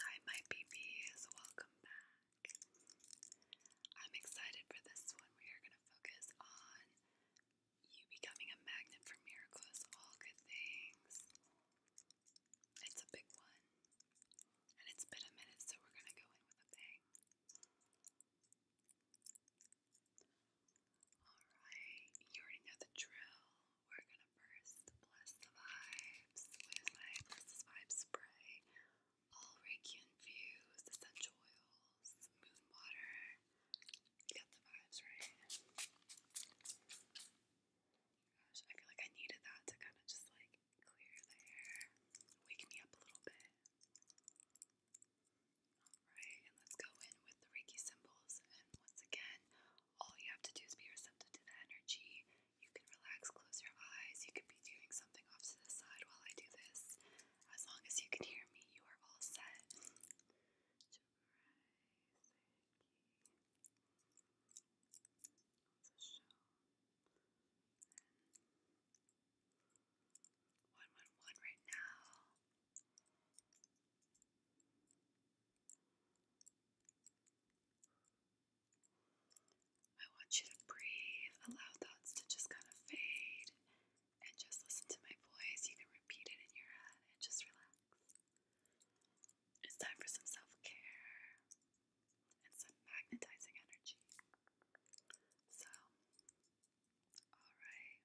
Hi, my BBs, welcome back. I'm excited for this one. We are going to focus on you becoming a magnet for miracles, all good things. It's a big one, and it's been a minute, so we're going to go in with a bang. Alright, you already know the drill we're gonna first bless the vibes with my Bless This spray. All Reiki infused, essential oils, moon water. You the vibes right. I feel like I needed that to kind of just like clear the air, wake me up a little bit. Alright, and let's go in with the Reiki symbols. And once again, all you have to do is be receptive to the energy you can relax, close your eyes. You could be doing something off to the side while I do this. As long as you can hear me, you are all set. One, one, one right now. I want you to breathe, allow thoughts to just kind of fade, and just listen to my voice. You can repeat it in your head and just relax. It's time for some self care and some magnetizing energy. So, alright.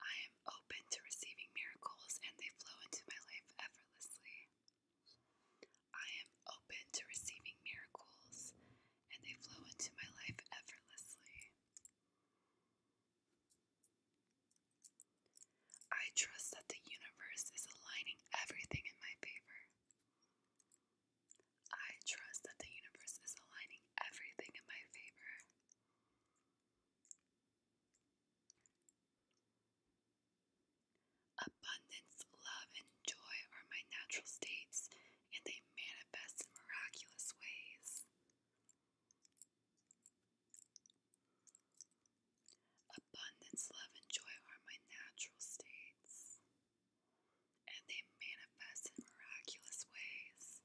I am open to receiving miracles and they flow into my life effortlessly. I am open to receiving miracles, and they flow into my life effortlessly. I trust that the universe is aligning everything in my favor. I trust that the universe is aligning everything in my favor. Abundance, love, and joy are my natural states, and they manifest in miraculous ways. Abundance, love, and joy are my natural states, and they manifest in miraculous ways.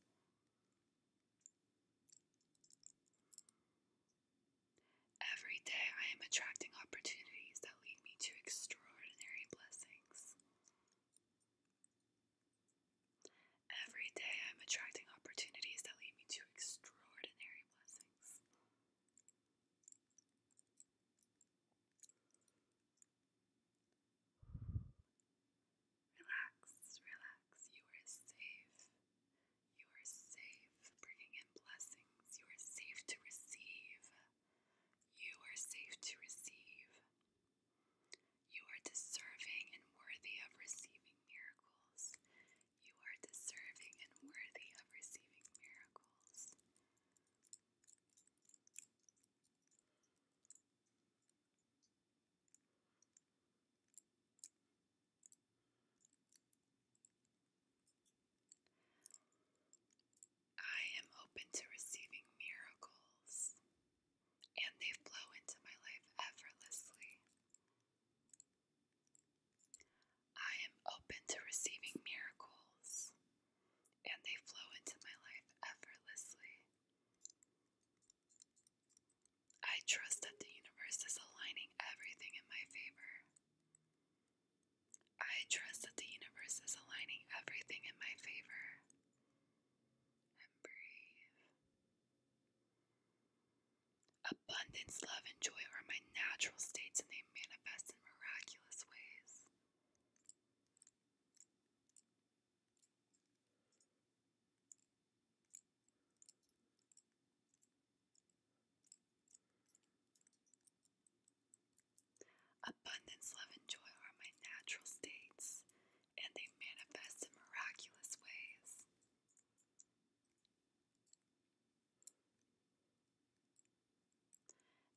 Every day I am attracting opportunities that lead me to extraordinary blessings. Every day I'm attracting opportunities that lead me to extraordinary blessings. Relax, relax, you are safe. You are safe, bringing in blessings. You are safe to receive. You are safe to receive. You are deserving and worthy of receiving miracles. You are deserving and worthy of receiving miracles. I am open to receiving miracles, and they flow into my life effortlessly. I am open to receiving miracles, and they flow into my life effortlessly. I trust that the universe is aligning everything in my favor. I trust that the universe is aligning everything in my favor. breathe. Abundance, love, and joy are my natural states, and they manifest in miraculous ways. Abundance, love, and joy are my natural states, and they manifest in miraculous ways.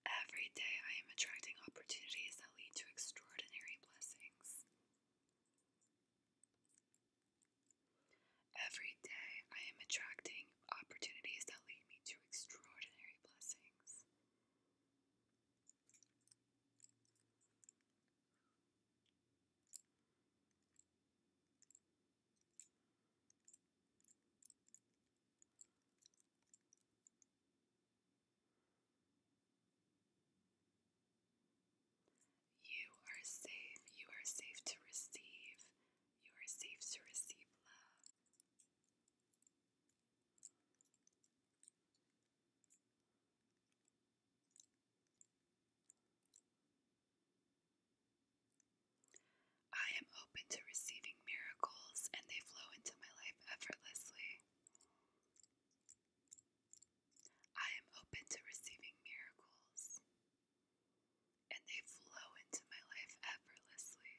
Every day I am attracting opportunities that lead to extraordinary blessings. Every day I am attracting opportunities that lead me to extraordinary blessings. You are safe. You are safe to receive. You are safe to receive love. I am open to receiving miracles and they flow into my life effortlessly. I am open to receiving miracles and they flow into my life effortlessly.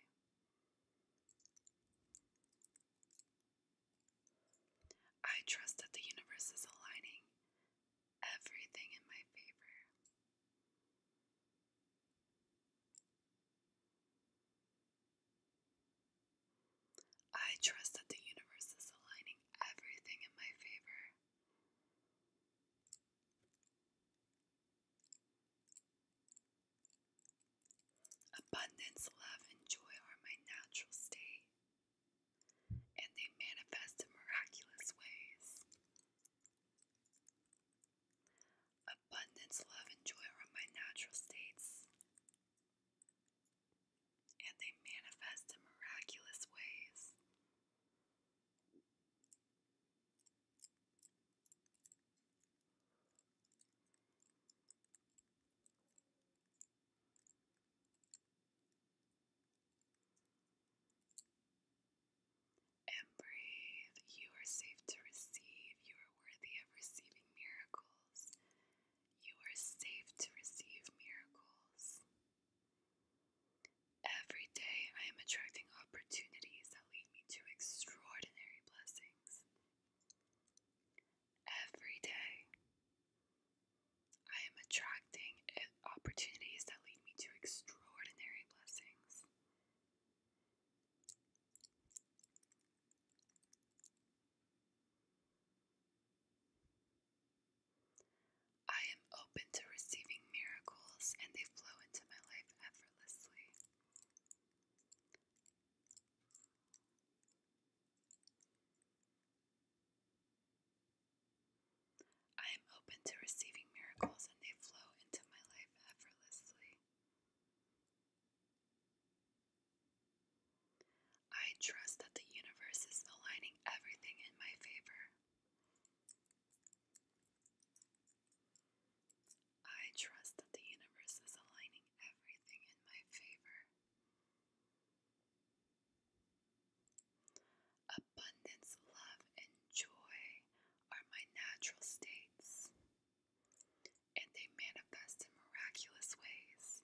I trust that the universe is aligning everything in my favor. I trust that the universe is aligning everything in my favor. Abundance, love, and joy are my natural state, and they manifest in miraculous ways. Abundance, love, and joy are my natural states, and they manifest in miraculous ways. And breathe. You are safe to receive. You are worthy of receiving miracles. You are safe to receive miracles. Every day I am attracting opportunities that lead me to extraordinary blessings. Every day I am attracting eh, opportunities that lead me to extraordinary blessings. I am open to receiving miracles, and they flow into my life effortlessly. I am open to receiving miracles, and they flow into my life effortlessly. I trust that the universe is aligning everything in my favor. I trust that the universe is aligning everything in my favor. Abundance, love, and joy are my natural states, and they manifest in miraculous ways.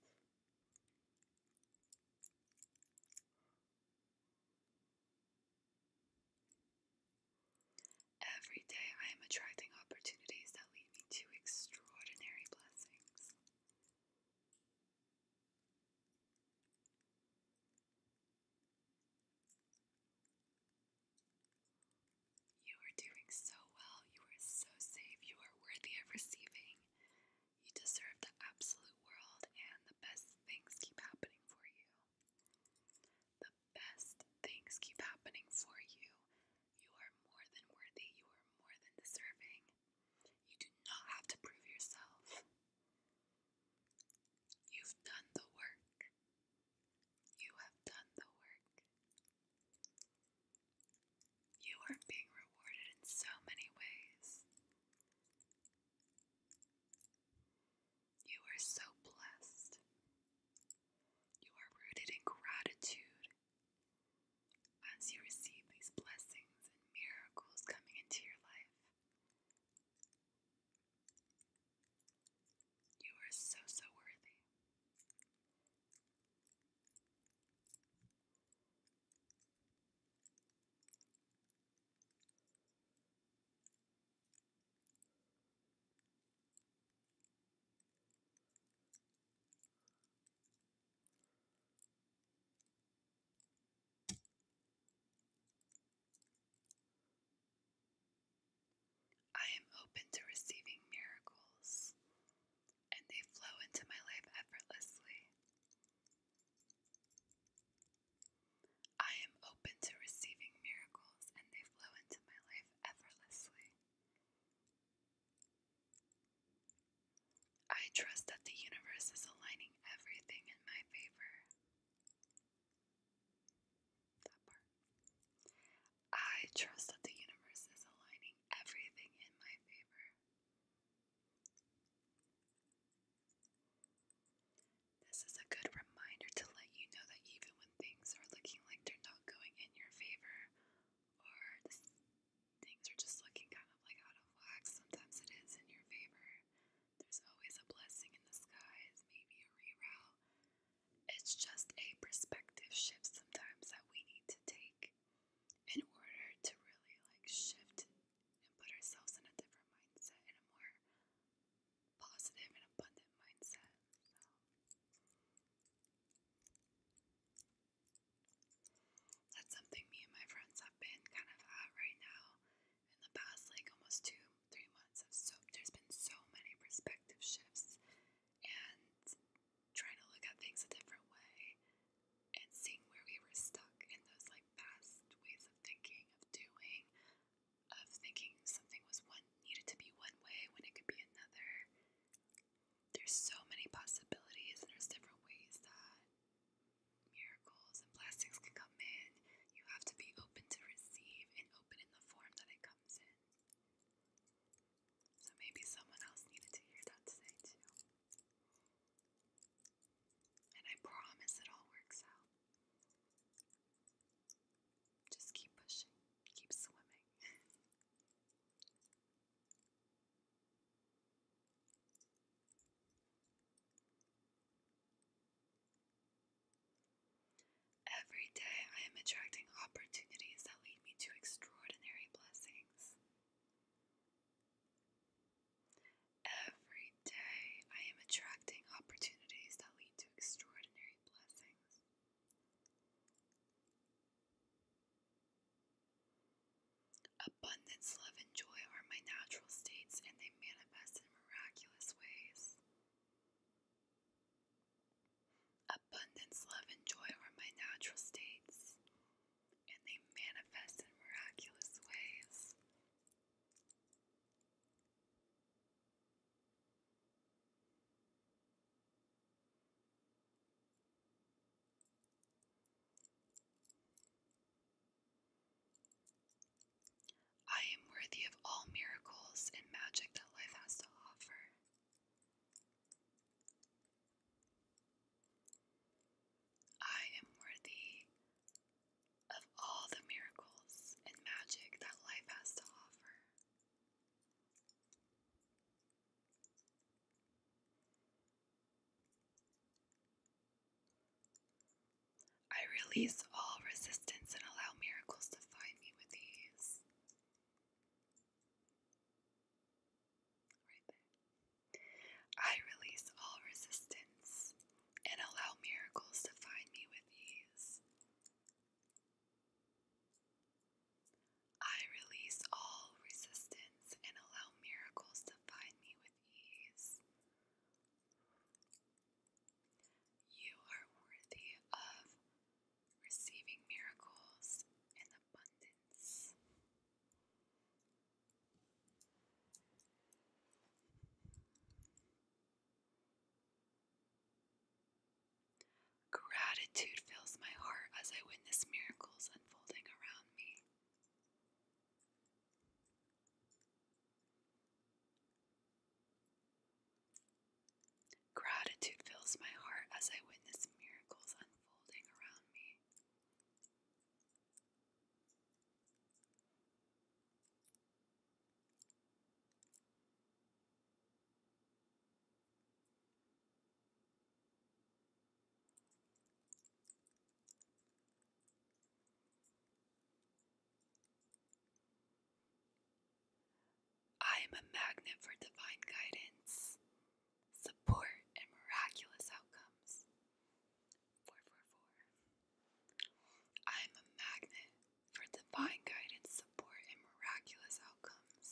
Every day I am attracting opportunities that lead me to extraordinary blessings. You are doing so well. You are so safe. You are worthy of receiving. You deserve the absolute world, and the best things keep happening for you. The best things keep happening for you. You are more than worthy, you are more than deserving. You do not have to prove yourself. You've done the work. You have done the work. You are being rewarded in so many ways. You are so blessed. You are rooted in gratitude. As you receive these blessings and miracles coming into your life, you are so, so worthy. I am open to receiving miracles, and they flow into my life effortlessly. I am open to receiving miracles and they flow into my life effortlessly. I trust that the universe is aligning everything in my favor. I trust that the universe is aligning everything in my favor. This is a good reminder to let you know that even when things are looking like they're not going in your favor, or things are just looking kind of like out of whack, sometimes it is in your favor. There's always a blessing in the skies, maybe a reroute. It's just a perspective shift sometimes that we need to take in order to really like shift and put ourselves in a different mindset and a more positive and abundant mindset. that's something me and my friends have been kind of at right now. In the past, like almost two, three months, so there's been so many perspective shifts and trying to look at things a different way and seeing where we were stuck in those like past ways of thinking, of doing, of thinking something was one needed to be one way when it could be another. There's so many possibilities, and there's different ways that miracles and blessings can come in. You have to be open to receive and open in the form that it comes in. So maybe someone else needed to hear that today, too. And I promise it all works out. Just keep pushing, keep swimming. Every day I am attracting opportunities that lead me to extraordinary blessings. Every Every day I am attracting opportunities that lead to extraordinary blessings. Abundance, love, and joy are my natural states, and they manifest in miraculous ways. Abundance, love, and joy are my natural states, and they manifest in miraculous ways. I am worthy of all miracles and magic that life has to offer. I am worthy of all the miracles and magic that life has to offer. I release all resistance and allow miracles to find me with ease. Right there. I release all resistance and allow miracles to find me with ease. I release all resistance and allow miracles to find me with ease. You are worthy of receiving miracles in abundance. Gratitude fills my heart as I witness miracles unfolding around me. Gratitude fills my heart as I witness miracles unfolding around me. I am a magnet for divine guidance, support, and miraculous outcomes. 444. I am a magnet for divine guidance, support, and miraculous outcomes.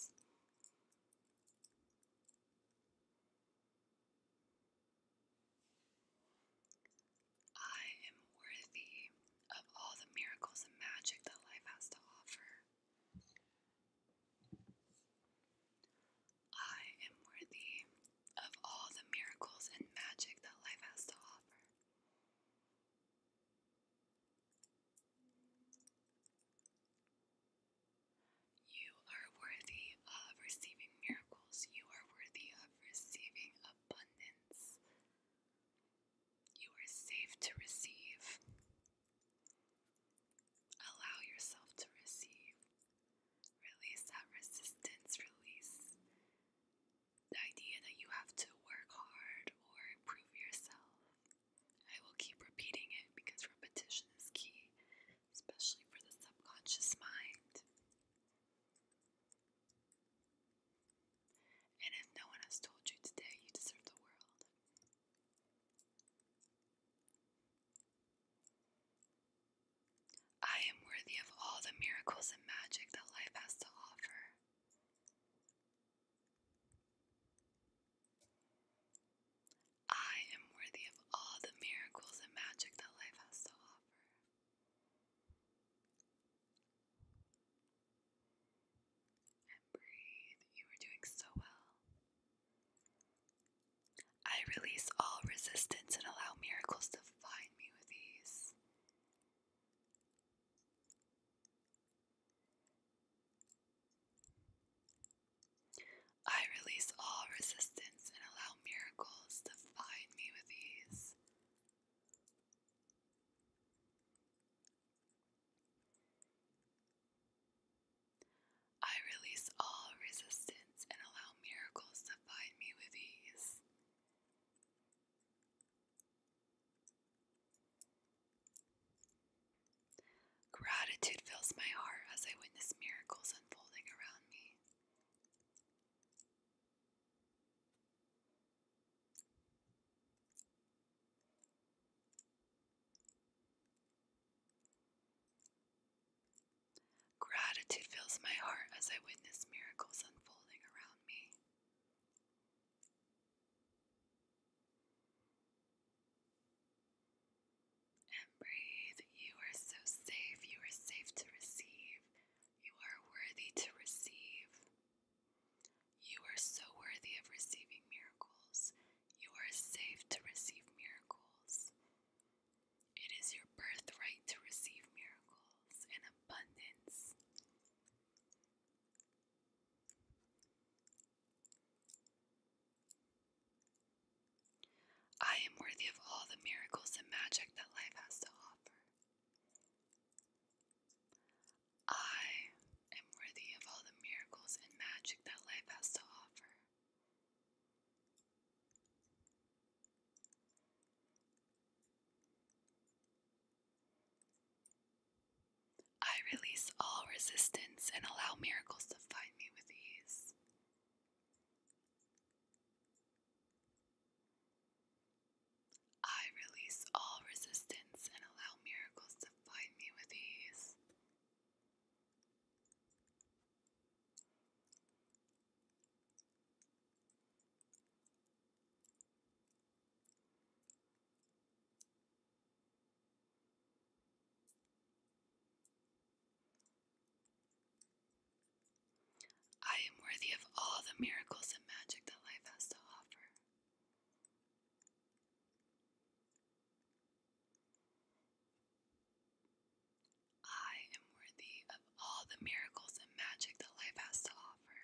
I am worthy of all the miracles and magic that life has to offer. I am worthy of all the miracles and magic that life has to offer. You are worthy of receiving miracles. You are worthy of receiving abundance. You are safe to receive. Allow yourself to receive. Release that resistance. Release the idea that you have to work hard or improve yourself. I will keep repeating it because repetition is key, especially for the subconscious mind. And if no one has told you today, you deserve the world. I am worthy of all the miracles and magic that life has to offer. I am worthy of all the miracles and magic that life has to offer. And breathe. You are doing so well. I release all resistance and allow miracles to find me with ease. I release all resistance and allow miracles to find me with ease. I release all resistance and allow miracles to find me with ease. Gratitude fills my heart as I witness miracles unfolding around me. Gratitude fills my heart as I witness miracles unfolding around me. And breathe. You are so safe. You are safe to receive. You are worthy to receive. You are so worthy of receiving miracles. You are safe to receive miracles. It is your birthright to receive miracles in abundance. I am worthy of all the miracles and magic that life has to offer. I am worthy of all the miracles and magic that life has to offer. I release all resistance and allow miracles to find me with ease. I release all resistance and allow miracles to find me with ease. I am worthy of all the miracles and magic that life has to offer. I am worthy of all the miracles and magic that life has to offer.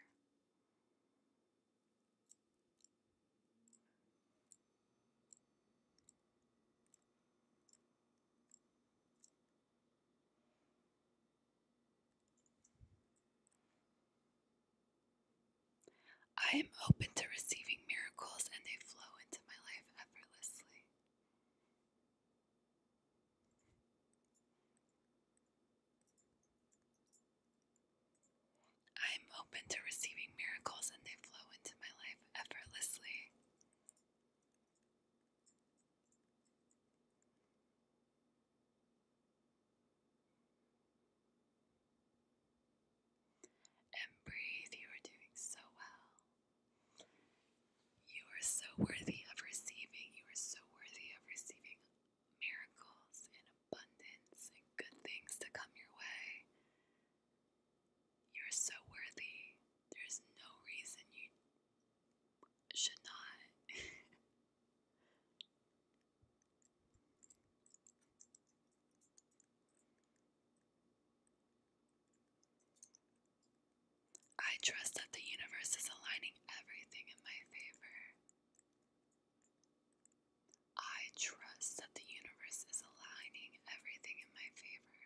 I am open to receiving miracles and they flow into my life effortlessly. I am open to receiving miracles and they flow into my life effortlessly. And you are doing so well. You are so worthy of receiving. You are so worthy of receiving miracles and abundance and good things to come your way. You're so worthy. There's no reason you should not. I trust that the universe is aligning everything in my favor. I trust that the universe is aligning everything in my favor.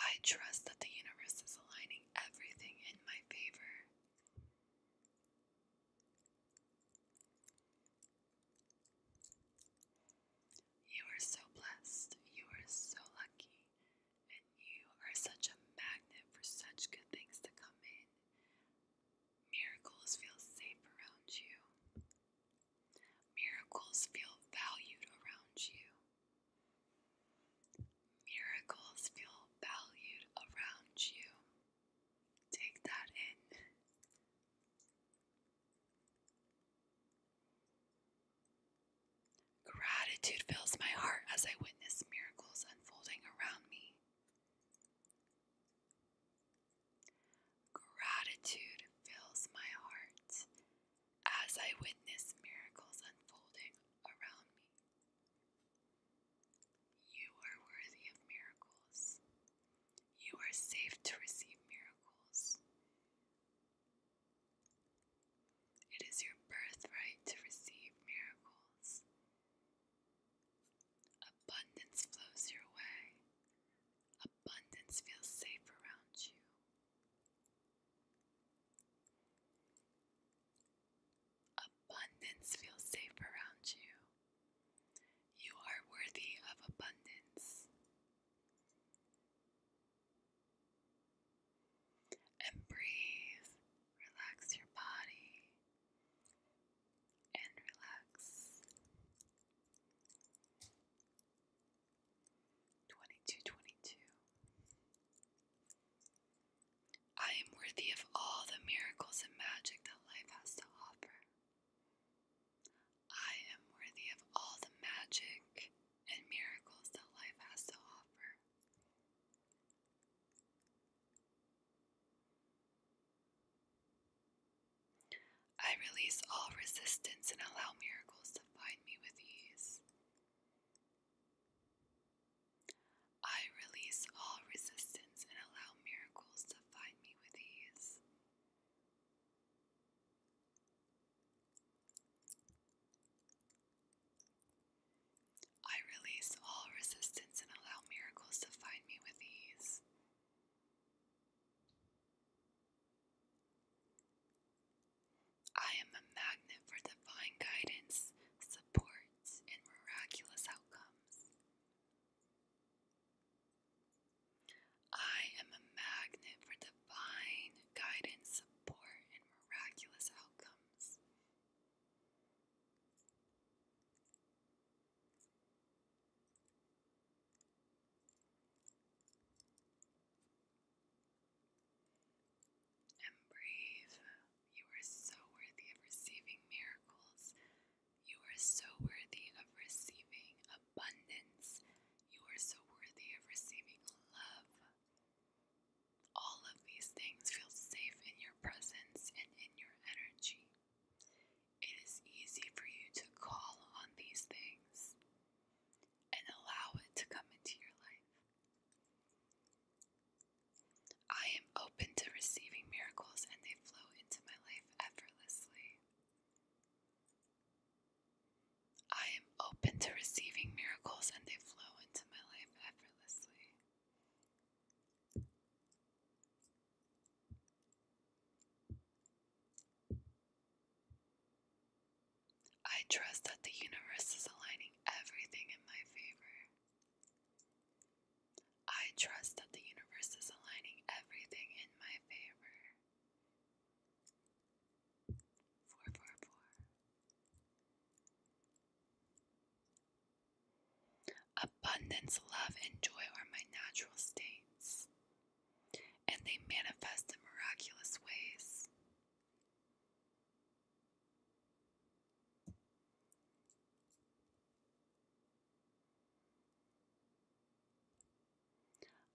I trust that the universe is aligning everything in my favor. You are so blessed, you are so lucky, and you are such a magnet for such good things to come in. Miracles feel safe around you. Miracles feel valued around you. Miracles feel valued around you. Take that in. Gratitude fills my heart as I witness miracles unfolding around me. Gratitude fills my heart as I witness miracles unfolding around me. You are worthy of miracles. You are safe to receive miracles. It is your birthright to receive miracles. Abundance flows your way. Abundance feels safe around you. Abundance feels safe around you. You are worthy of abundance. And breathe, relax your body, and relax. 2222. I am worthy of all the miracles and magic that life has to offer. I am worthy of all the magic and miracles that life has to offer. I release all resistance and allow miracles to find me with ease. I release all resistance and allow miracles to find me with ease. I release all resistance and allow miracles to find me with ease. I am a magnet for divine guidance, support, and miraculous outcomes. I am a magnet for divine guidance, support, and miraculous outcomes. And brave, you are so worthy of receiving miracles. You are so worthy of receiving abundance. You are so worthy of receiving love. All of these things feel safe in your presence and in your energy. It is easy for you to call on these things and allow it to come into your life. I am open to receiving miracles and they flow into my life effortlessly. I am open to receiving miracles and they flow into my life effortlessly. I trust that the universe is aligning everything in my favor. I trust that the universe is aligning everything in my favor. Four, four, four. Abundance, love, and joy are my natural states, and they manifest in miraculous ways.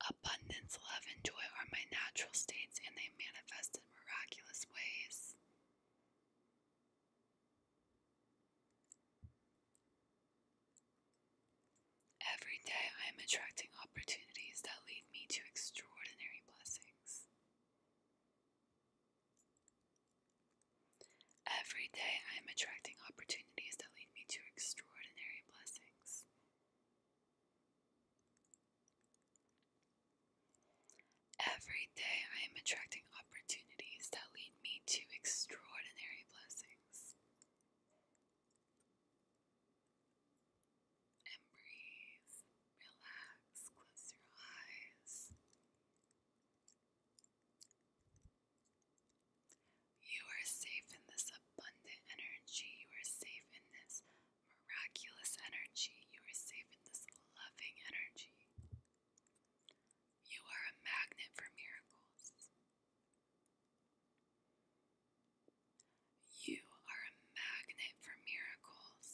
Abundance, love, and joy are my natural states, and they manifest in miraculous ways. Every day I am attracting opportunities that lead me to extraordinary blessings. Every day I am attracting opportunities that lead me to extraordinary blessings. Every day I am attracting opportunities that lead me to extraordinary blessings. breathe, relax, close your eyes. You are safe in this abundant energy. You are safe in this miraculous energy. You are receiving this loving energy. You are a magnet for miracles. You are a magnet for miracles.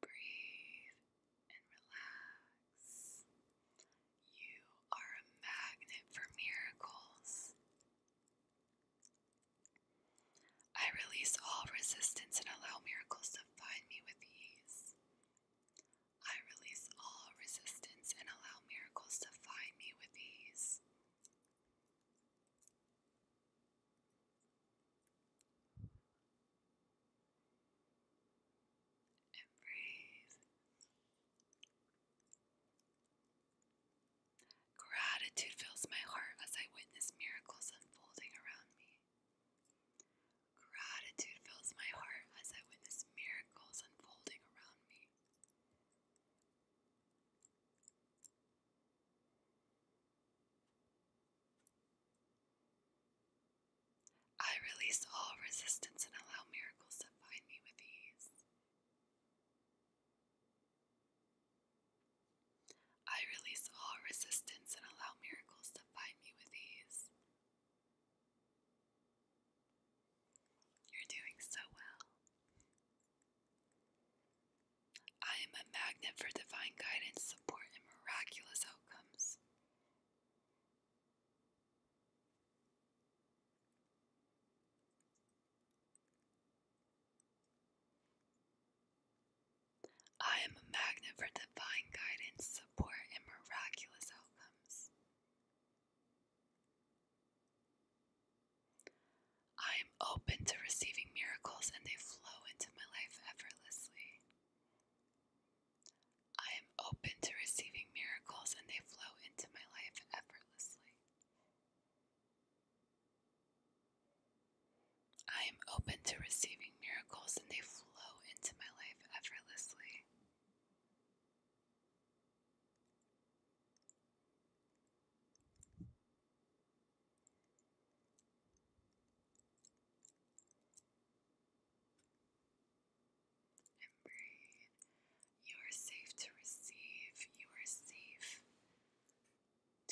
Breathe and relax. You are a magnet for miracles. I release all resistance and allow miracles to find me with ease. I release all resistance and allow miracles to find me with ease. And breathe. Gratitude fills my heart as I witness miracles unfolding around me. Gratitude fills my heart as I witness miracles unfolding around me. I release all resistance and allow miracles to find me with ease. I release all resistance and allow miracles to find me with ease. You're doing so well. I am a magnet for divine guidance, support, and miraculous outcomes. I am a magnet for divine guidance, support, and miraculous outcomes. I am open to receiving miracles and they flow into my life effortlessly. I am open to receiving miracles and they flow into my life effortlessly. I am open to receiving miracles and they flow into my life effortlessly and You are safe to receive. You are safe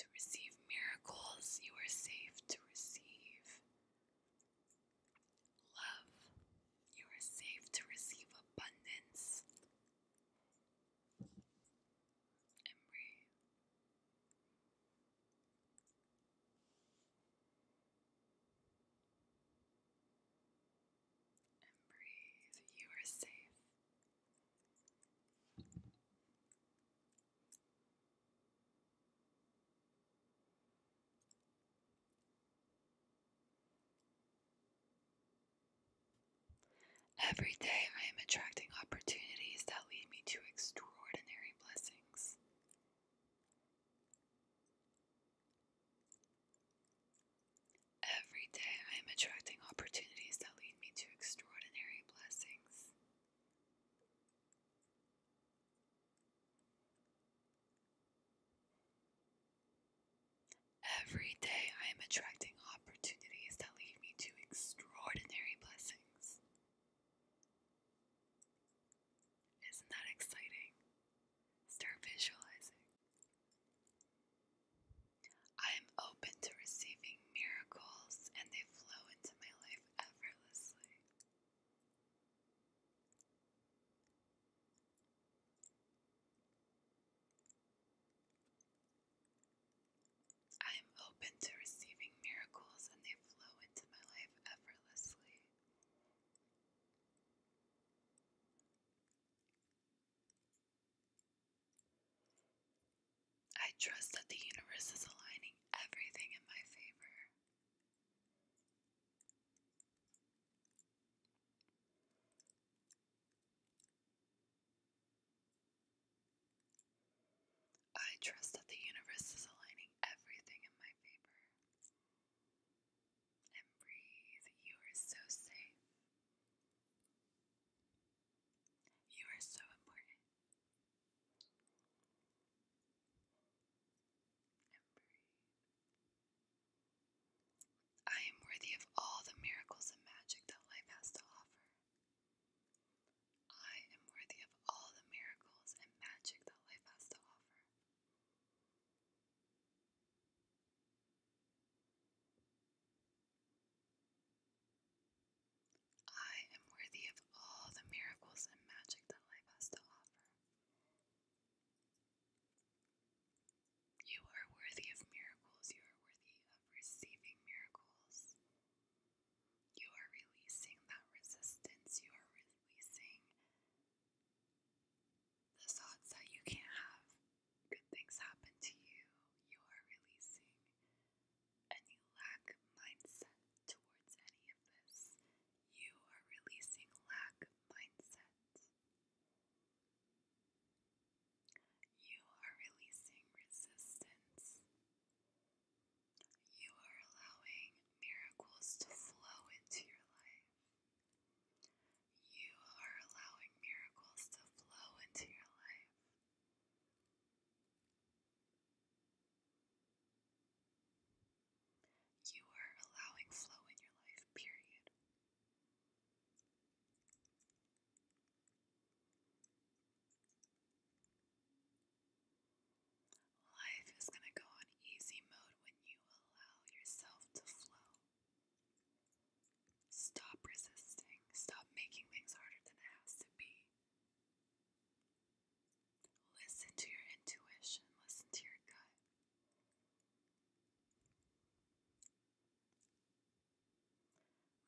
to receive miracles. You are safe to receive love. You are safe to receive abundance. And and breathe. You are safe. Every day I am attracting opportunities that lead me to extraordinary blessings. Every day I am attracting opportunities that lead me to extraordinary blessings. Every day I am attracting opportunities that lead me to extraordinary blessings. Isn't that exciting? Start visualizing. I am open to receiving miracles and they flow into my life effortlessly. I am open to receiving miracles and they flow into my life effortlessly. I trust that the universe is aligning everything in my favor. I trust that the universe is aligning everything in my favor and breathe. You are so safe. You are so important. And breathe. I am worthy of all the miracles and magic that life has to offer. I am worthy of all the miracles and magic that life has to offer. I am worthy of all the miracles and magic that life has to offer. You are worthy of miracles. You are worthy of receiving miracles. You are releasing that resistance. You are releasing the thoughts that you can't have good things happen to you, you are releasing, and lack mindset towards any of this. You are releasing lack mindset. You are releasing resistance. You are allowing miracles to flow into your life. You are allowing miracles to flow into your life. You are allowing flow in your life, period. Life is going to go on easy mode when you allow yourself to flow. Stop resisting. Stop making things harder than it has to be. Listen to your intuition. Listen to your gut.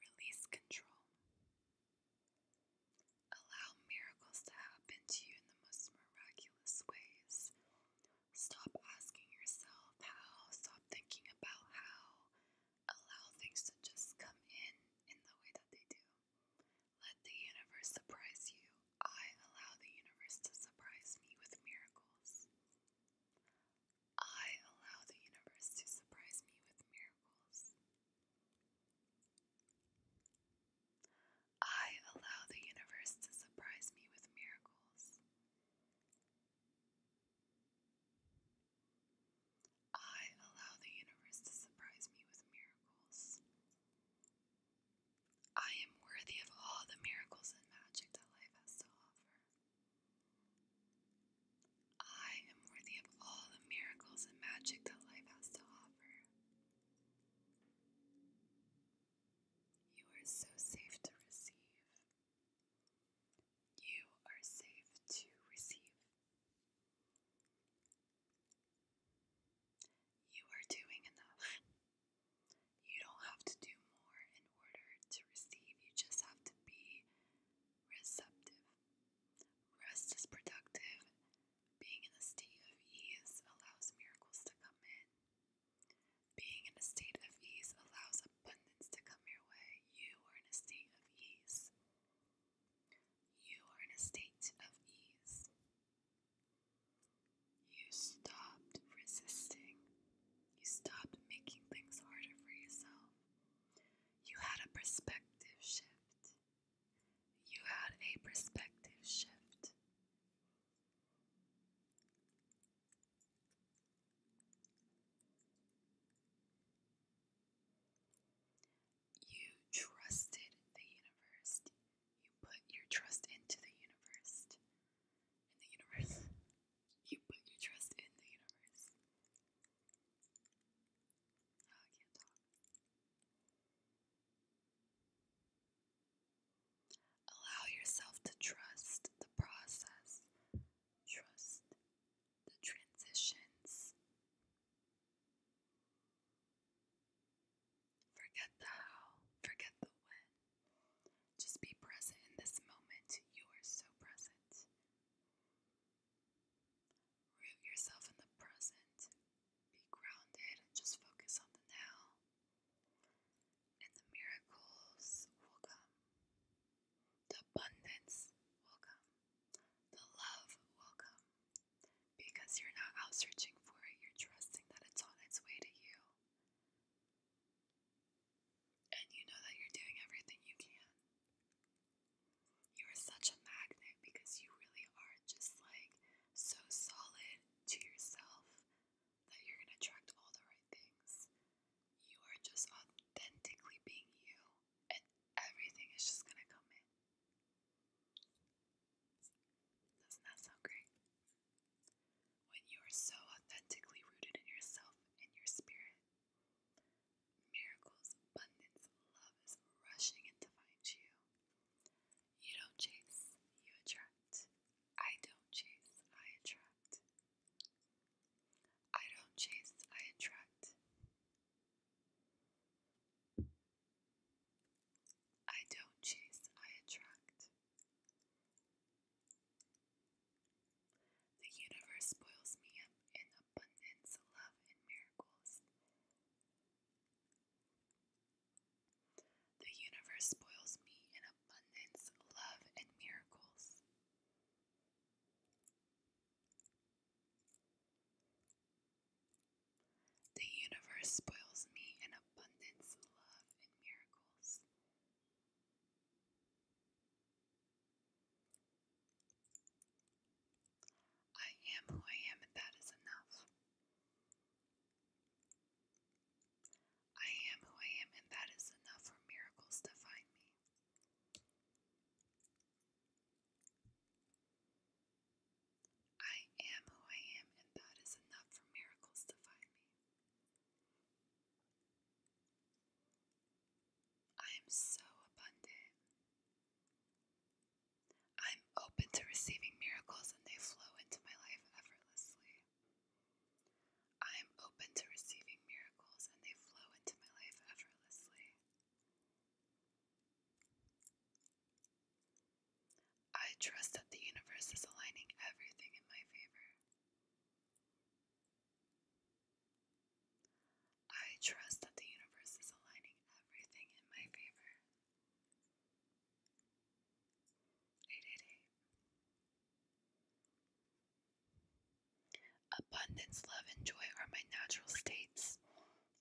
Release control. Allow miracles to happen to you in the most miraculous ways. Stop asking yourself how, stop thinking about how. Allow things to just come in in the way that they do. Let the universe surprise you. I allow the universe to surprise me with miracles. I allow the universe to surprise me with miracles. I allow the universe to surprise me with miracles. I allow the universe to surprise me with miracles. I am worthy of all the miracles and magic that life has to offer. I am worthy of all the miracles and magic that life has to offer. You are so safe to receive. You are safe to receive. You are doing enough. You don't have to do more in order to receive, you just have to be receptive. Rest is productive. Being in a state of ease allows miracles to come in. Being in a state of ease allows abundance to come your way. You are in a state of ease. You are in a state of ease. You stopped resisting. You stopped making things harder for yourself. You had a perspective shift. You had a perspective shift. You trusted the universe. You put your trust into the universe. the universe. You put your trust in the universe. Ah, I can't talk. Allow yourself to trust the process, trust the transitions. Forget the how, forget the when. Just be present in this moment. You are so present. Root yourself in the present. Be grounded and just focus on the now and the miracles will come. The abundance will come. The love will come. Because you're not out searching for it, you're trusting that it's on its way to you. And you know that you're doing everything you can. You are such a magnet because you really are just like so solid to yourself, that you're going to attract all the right things. You are just authentically being you, and everything is just going to come in. Doesn't that sound great? When you are so authentically rooted in yourself and your spirit, miracles, abundance, love is rushing in to find you. You don't chase, you attract. I don't chase, I attract. I don't chase, I attract. I don't chase, I attract. The universe spoils me up in abundance, love, and miracles. The universe spoils me in abundance, love, and miracles. The universe spoils me in abundance, love, and miracles. I am who I am, and that is enough. I am who I am, and that is enough for miracles to find me. I am who I am, and that is enough for miracles to find me. I am so abundant. I'm open to receiving miracles, and they flow into my life effortlessly. I am open to receiving miracles and they flow into my life effortlessly. I trust that the universe is aligning everything in my favor. I trust that the universe is aligning everything in my favor. 888. Abundance, love, and joy are my natural states,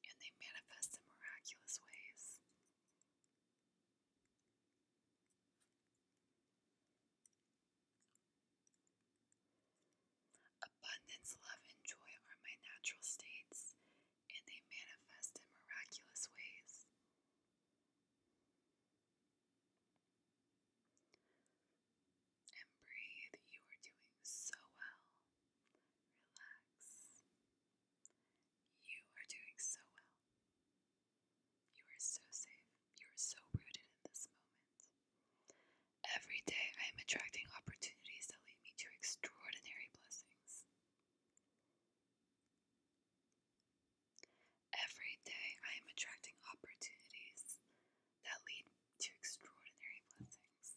and they manifest in miraculous ways. Abundance, love, and joy are my natural states, and they manifest in miraculous ways. And breathe. You are doing so well. Relax. You are doing so well. You are so safe. You are so rooted in this moment. Every day I am attracting opportunities that lead me to extraordinary blessings. Every day I am attracting opportunities that lead to extraordinary blessings.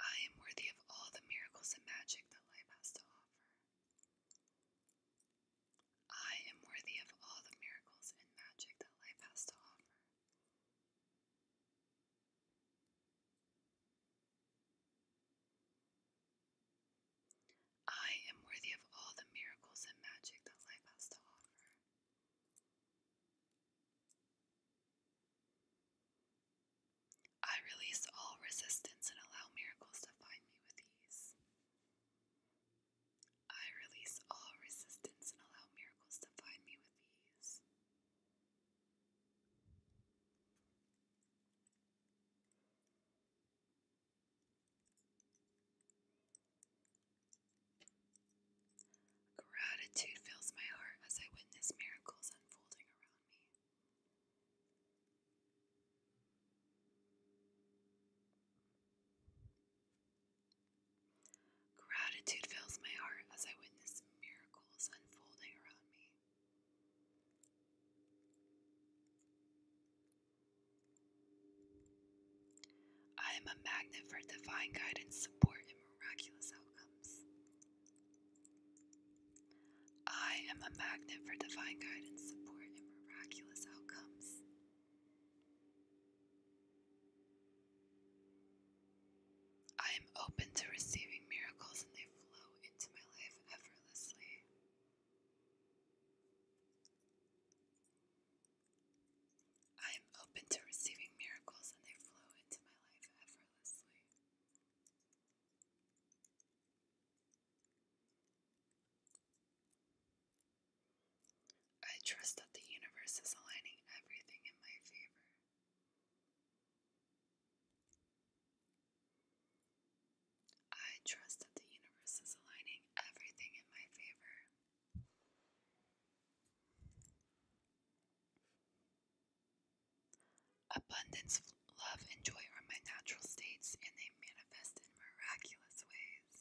I am worthy of all the miracles and magic that life has to offer. I am worthy of all the miracles and magic that life has to offer. I am worthy of all the miracles and magic that life has to offer. I release all resistance and allow miracles to find me with ease. I release all resistance and allow miracles to find me with ease. Gratitude fills my heart as I witness miracles unfolding around me. Gratitude fills my heart as I witness miracles unfolding around me. I am a magnet for divine guidance, support, and miraculous outcomes. I am a magnet for divine guidance, support, and miraculous outcomes. I am open to receiving miracles and they flow into my life effortlessly. I am open to receiving miracles and they flow into my life effortlessly. I trust that the universe is aligning everything in my favor. I trust that the universe is aligning everything in my favor. Abundance, love, and joy are my natural states, and they manifest in miraculous ways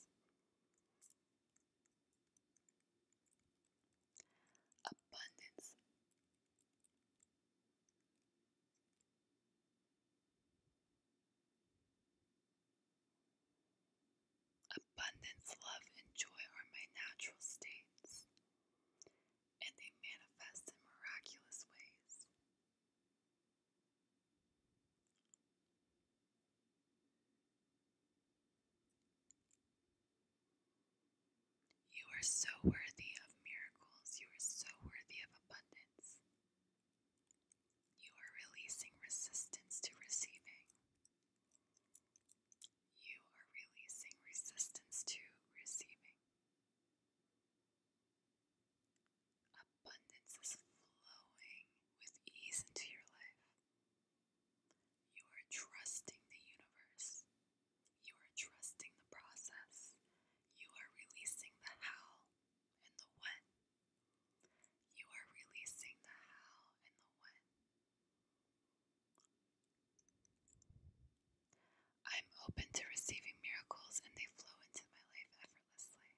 abundance. Abundance, love, and joy are my natural states, and they manifest in miraculous ways. You are so worthy of miracles. You are so worthy of abundance. You are releasing resistance to receiving. You are releasing resistance to receiving. Abundance is flowing with ease into your life. You are trusting the universe. You are trusting the process. You are releasing the how and the when. You are releasing the how and the when. I'm open to receiving miracles and they flow into my life effortlessly.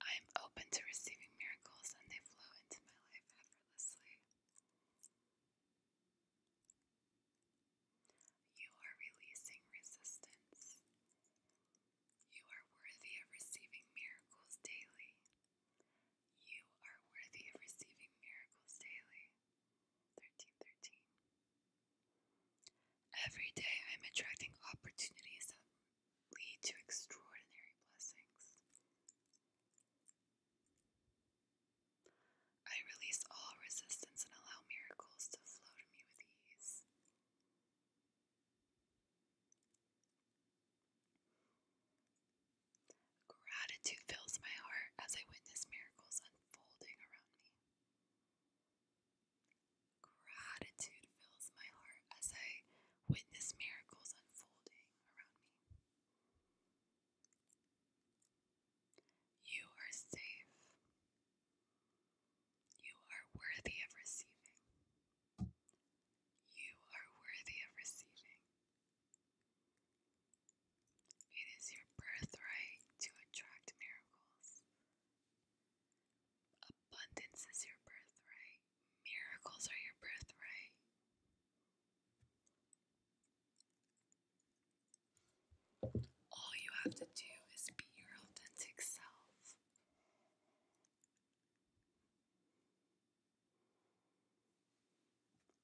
I am open to receiving miracles and they flow into my life effortlessly. You are releasing resistance. You are worthy of receiving miracles daily. You are worthy of receiving miracles daily. 1313. Every day I am attracting opportunities lead to extraordinary blessings. I release all resistance and allow miracles to flow to me with ease. Gratitude fills my heart as I witness miracles unfolding around me. Gratitude fills my heart as I witness miracles unfolding around me. You are safe. You are worthy of receiving. You are worthy of receiving. It is your birthright to attract miracles. Abundance is your birthright. Miracles are your birthright. All you have to do is be your authentic self.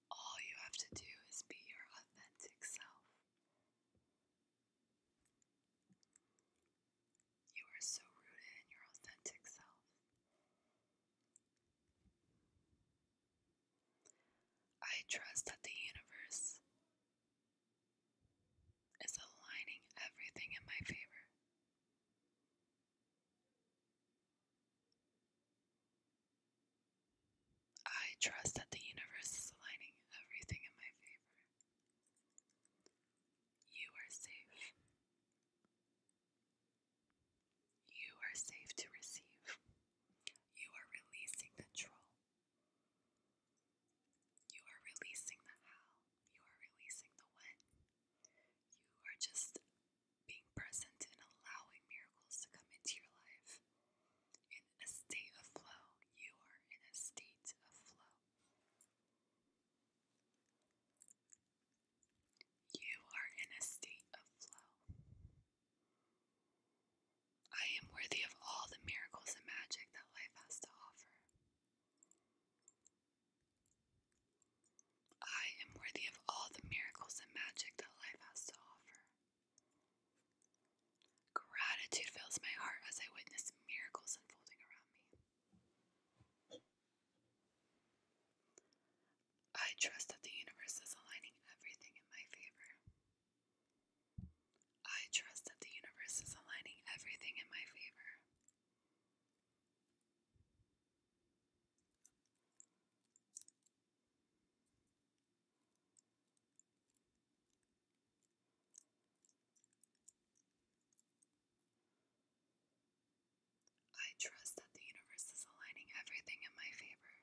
All you have to do is be your authentic self. You are so rooted in your authentic self. I trust that the universe is aligning everything in my favor. I trust that the universe is aligning everything in my favor. You are safe. You are safe to receive. You are releasing control. You are releasing the how. You are releasing the when. You are just being present and allowing miracles to come into your life. In a state of flow, you are in a state of flow. You are in a state of flow. I am worthy of all the miracles and magic that life has to offer. I am worthy of all the miracles and magic that life has to offer. Gratitude fills my heart as I witness miracles unfolding around me. I trust that the universe is aligning everything in my favor. I trust that the universe is aligning everything in my favor. I trust that the universe is aligning everything in my favor.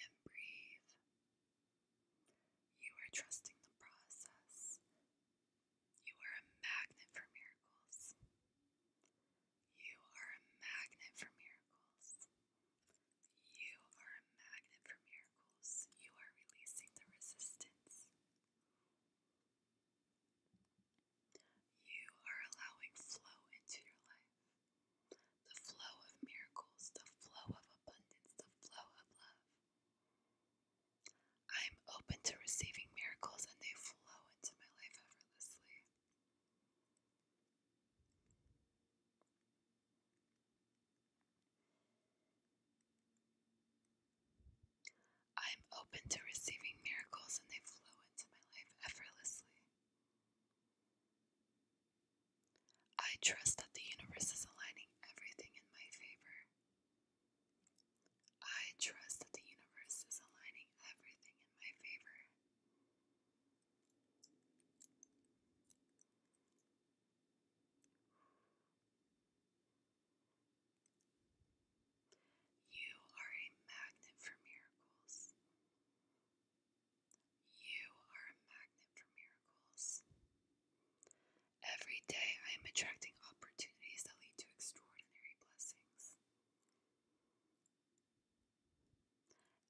And breathe. You are trusting the process. You are a magnet for miracles. You are a magnet for miracles. You are a magnet for miracles. You are releasing the resistance. You are allowing flow into your life. The flow of miracles, the flow of abundance, the flow of love. I am open to receiving miracles and they flow into my life effortlessly. I am open to receiving miracles and they flow into my life effortlessly. I trust that the universe is aligning everything in my favor. I trust that the universe is aligning everything in my favor. You are a magnet for miracles. You are a magnet for miracles. Every day I am attracting opportunities that lead to extraordinary blessings.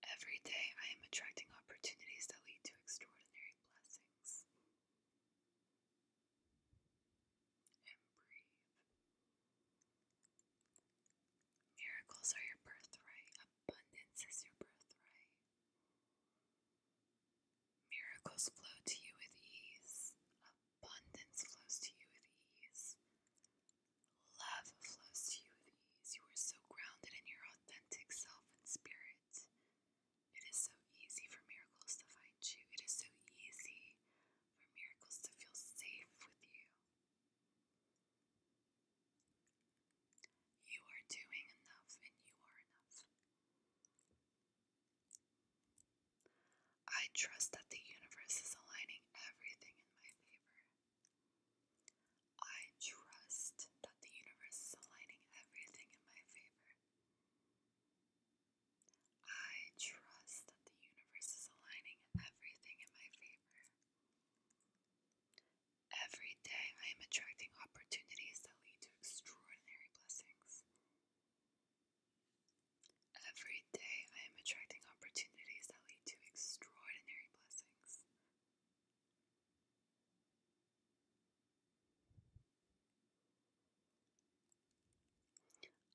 Every day I am attracting opportunities that lead to extraordinary blessings. breathe. Miracles are your birthright, abundance is your birthright. Miracles flow to you with ease, abundance flows to you with ease. Love flows to you with You are so grounded in your authentic self and spirit. It is so easy for miracles to find you. It is so easy for miracles to feel safe with you. You are doing enough and you are enough. I trust that the universe is aligning everything in my favor. I trust that the universe is aligning everything in my favor. I trust that the universe is aligning everything in my favor. Every day I am attracting opportunities that lead to extraordinary blessings. Every day I am attracting opportunities that lead to extraordinary blessings.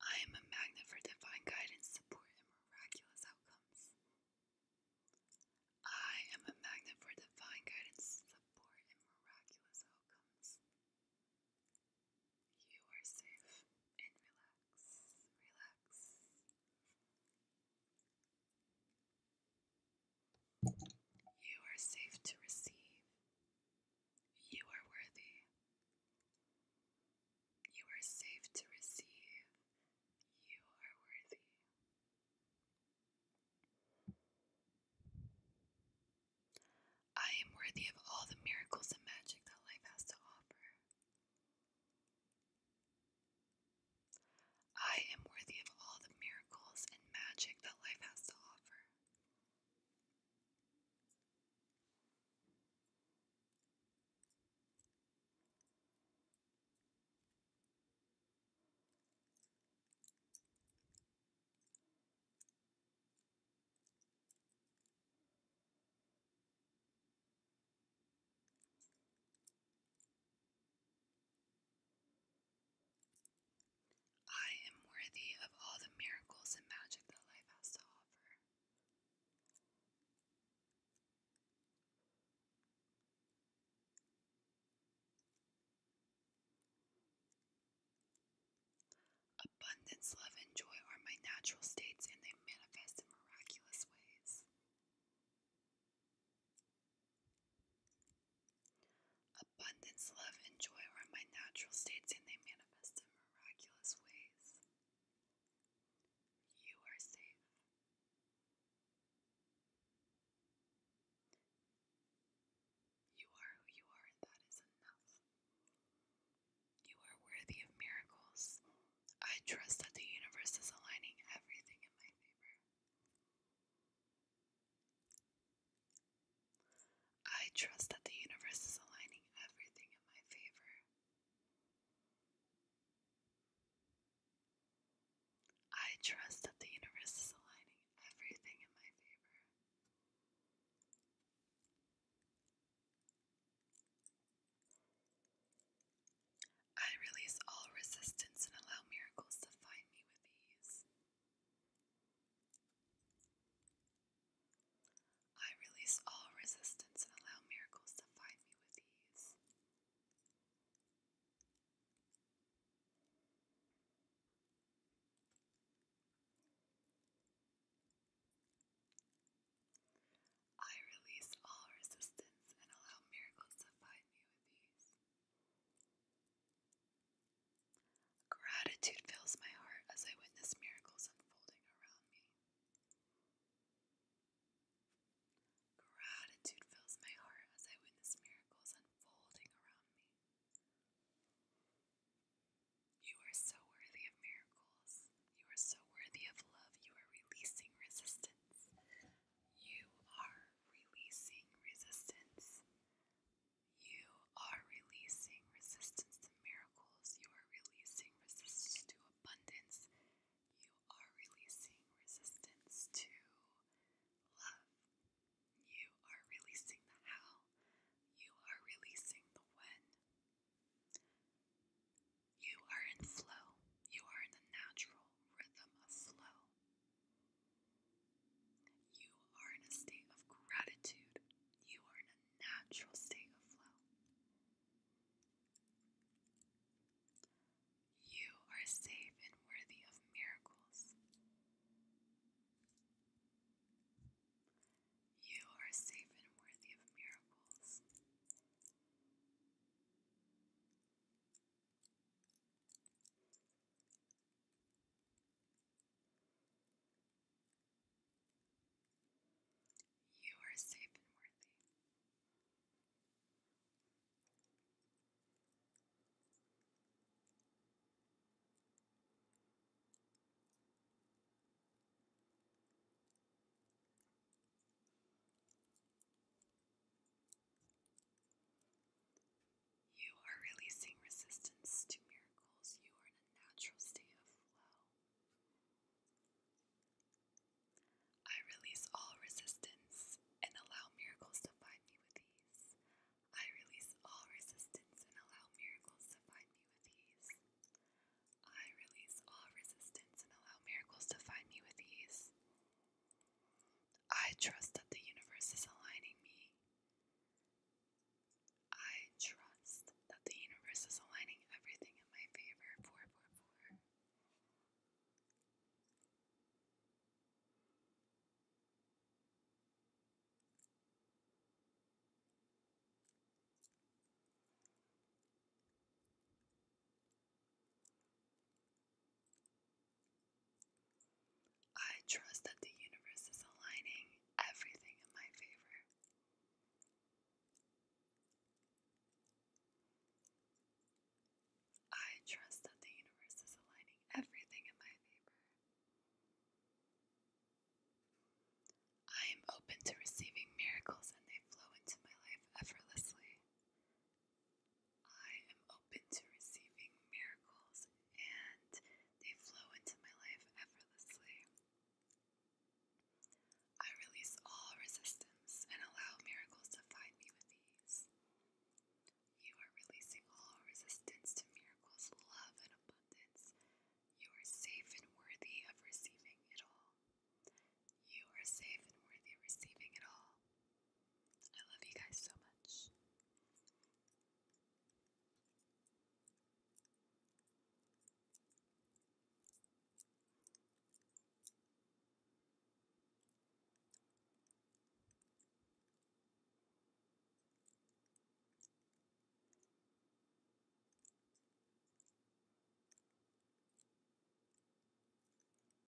I am a magnet for divine guidance, support, and miraculous outcomes. I am a magnet for divine guidance, support, and miraculous outcomes. You are safe and relax, relax. You are safe to receive. You are worthy. You are safe to receive. You are worthy. I am worthy of all the miracles and magic that life has to offer. I am worthy of all the miracles and magic that life has to offer. I am worthy of all the miracles and magic that life has to offer. Abundance, love, and joy are my natural states, and they manifest in miraculous ways. Abundance, love, and joy are my natural states, and they manifest in miraculous ways. You are safe. You are who you are, and that is enough. You are worthy of miracles. I trust that the universe is aligning everything in my favor. I trust that the universe is aligning everything in my favor. I trust that the universe is aligning everything in my favor. I release all resistance and allow miracles to find me with ease. I release all resistance and allow miracles to find me with ease. I release all resistance and allow miracles to find me Gratitude fills my heart as I witness miracles unfolding around me. Gratitude fills my heart as I witness miracles unfolding around me. You are so worthy of miracles. You are so worthy of love. You are releasing resistance. You are releasing resistance. You are releasing resistance to miracles. You are releasing resistance to abundance. You are releasing resistance to love. You are releasing the how. You are releasing the when. You are in flow. You are in the natural rhythm of flow. You are in a state of gratitude. You are in a natural state of flow. You are safe and worthy of miracles. You are safe and worthy of miracles. You are safe and worthy. You are releasing resistance to miracles. You are in a natural state of flow. I release all resistance and allow miracles to find me with ease. I release all resistance and allow miracles to find me with ease. I release all resistance and allow miracles to find me with ease. I trust that the universe is aligning me. I trust that the universe is aligning everything in my favor. Four, four, four. I trust that the universe is aligning everything in my favor. I trust that the universe is aligning everything in my favor. I am open to receiving miracles and they flow into my life effortlessly. I am open to receiving miracles and they flow into my life effortlessly. I release all resistance and allow miracles to find me with ease. You are releasing all resistance to miracles, love, and abundance. You are safe and worthy of receiving it all. You are safe and worthy of receiving it all. I love you guys so much.